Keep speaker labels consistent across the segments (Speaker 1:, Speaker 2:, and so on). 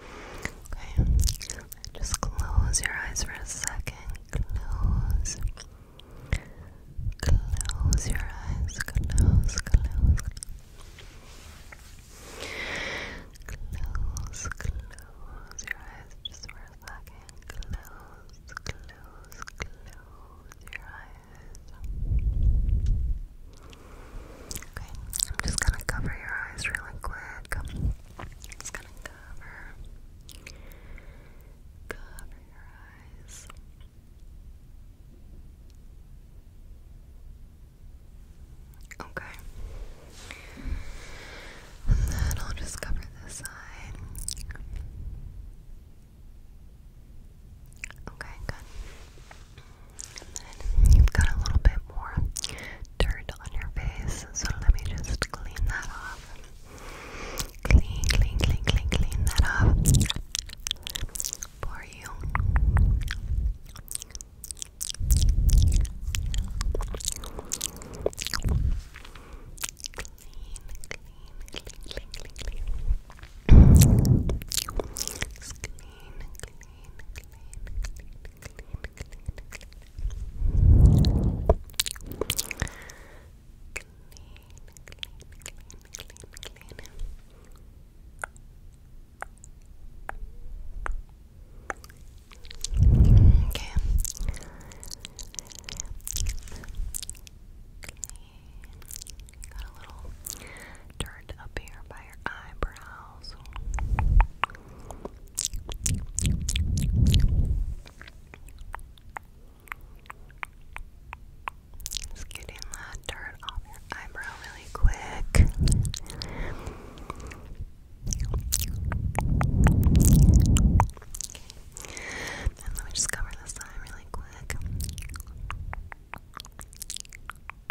Speaker 1: Okay, just close your eyes for a second. Close. Close your eyes. Close, close. Close, close your eyes just for a second. Close, close, close your eyes. Okay, I'm just gonna cover your eyes really quick. Just gonna cover, cover your eyes. Okay. And then I'll just cover this side. Okay, good. And you've got a little bit more dirt on your face, so let me just clean that off. Clean, clean, clean, clean, clean that off for you. Clean, clean, clean, clean, clean. clean, clean, clean, clean, clean, Okay. Got a little dirt up here by your eyebrows. Just getting that dirt off your eyebrow really quick. And let me just cover this side really quick. And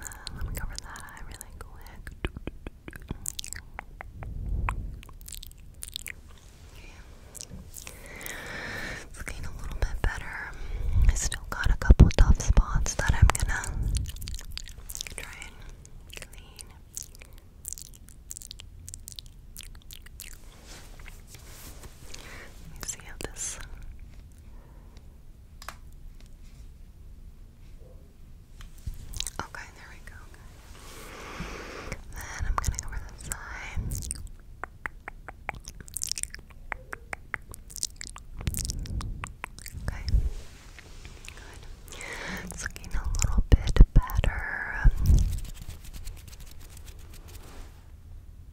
Speaker 1: then let me cover that really quick. Okay. It's looking a little bit better. I still got a couple tough spots that I'm gonna try and clean. see how this Okay, there we go. Then I'm gonna go over the side. Okay. Good. It's looking a little bit better.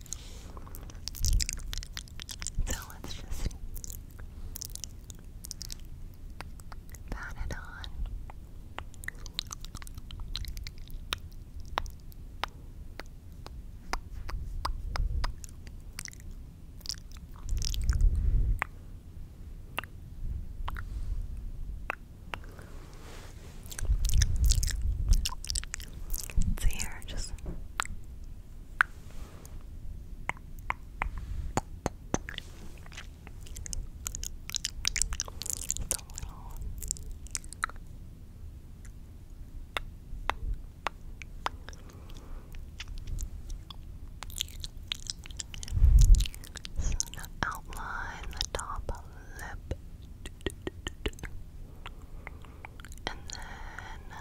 Speaker 1: So let's just pat it on. It's here, just it's a little sort of outline the top of the lip and then uh,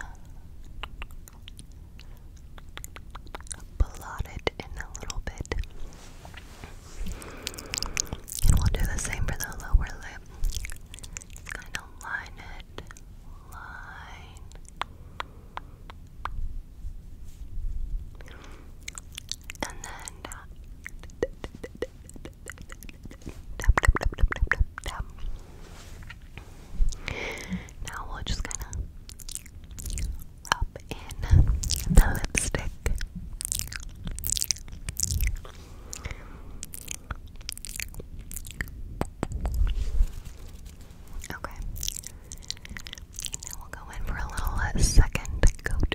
Speaker 1: blot it in a little bit. And we'll do the same for the lower lip. kind of line it, line. And then now we're just gonna rub in the lipstick. Okay. Now we'll go in for a little second coat.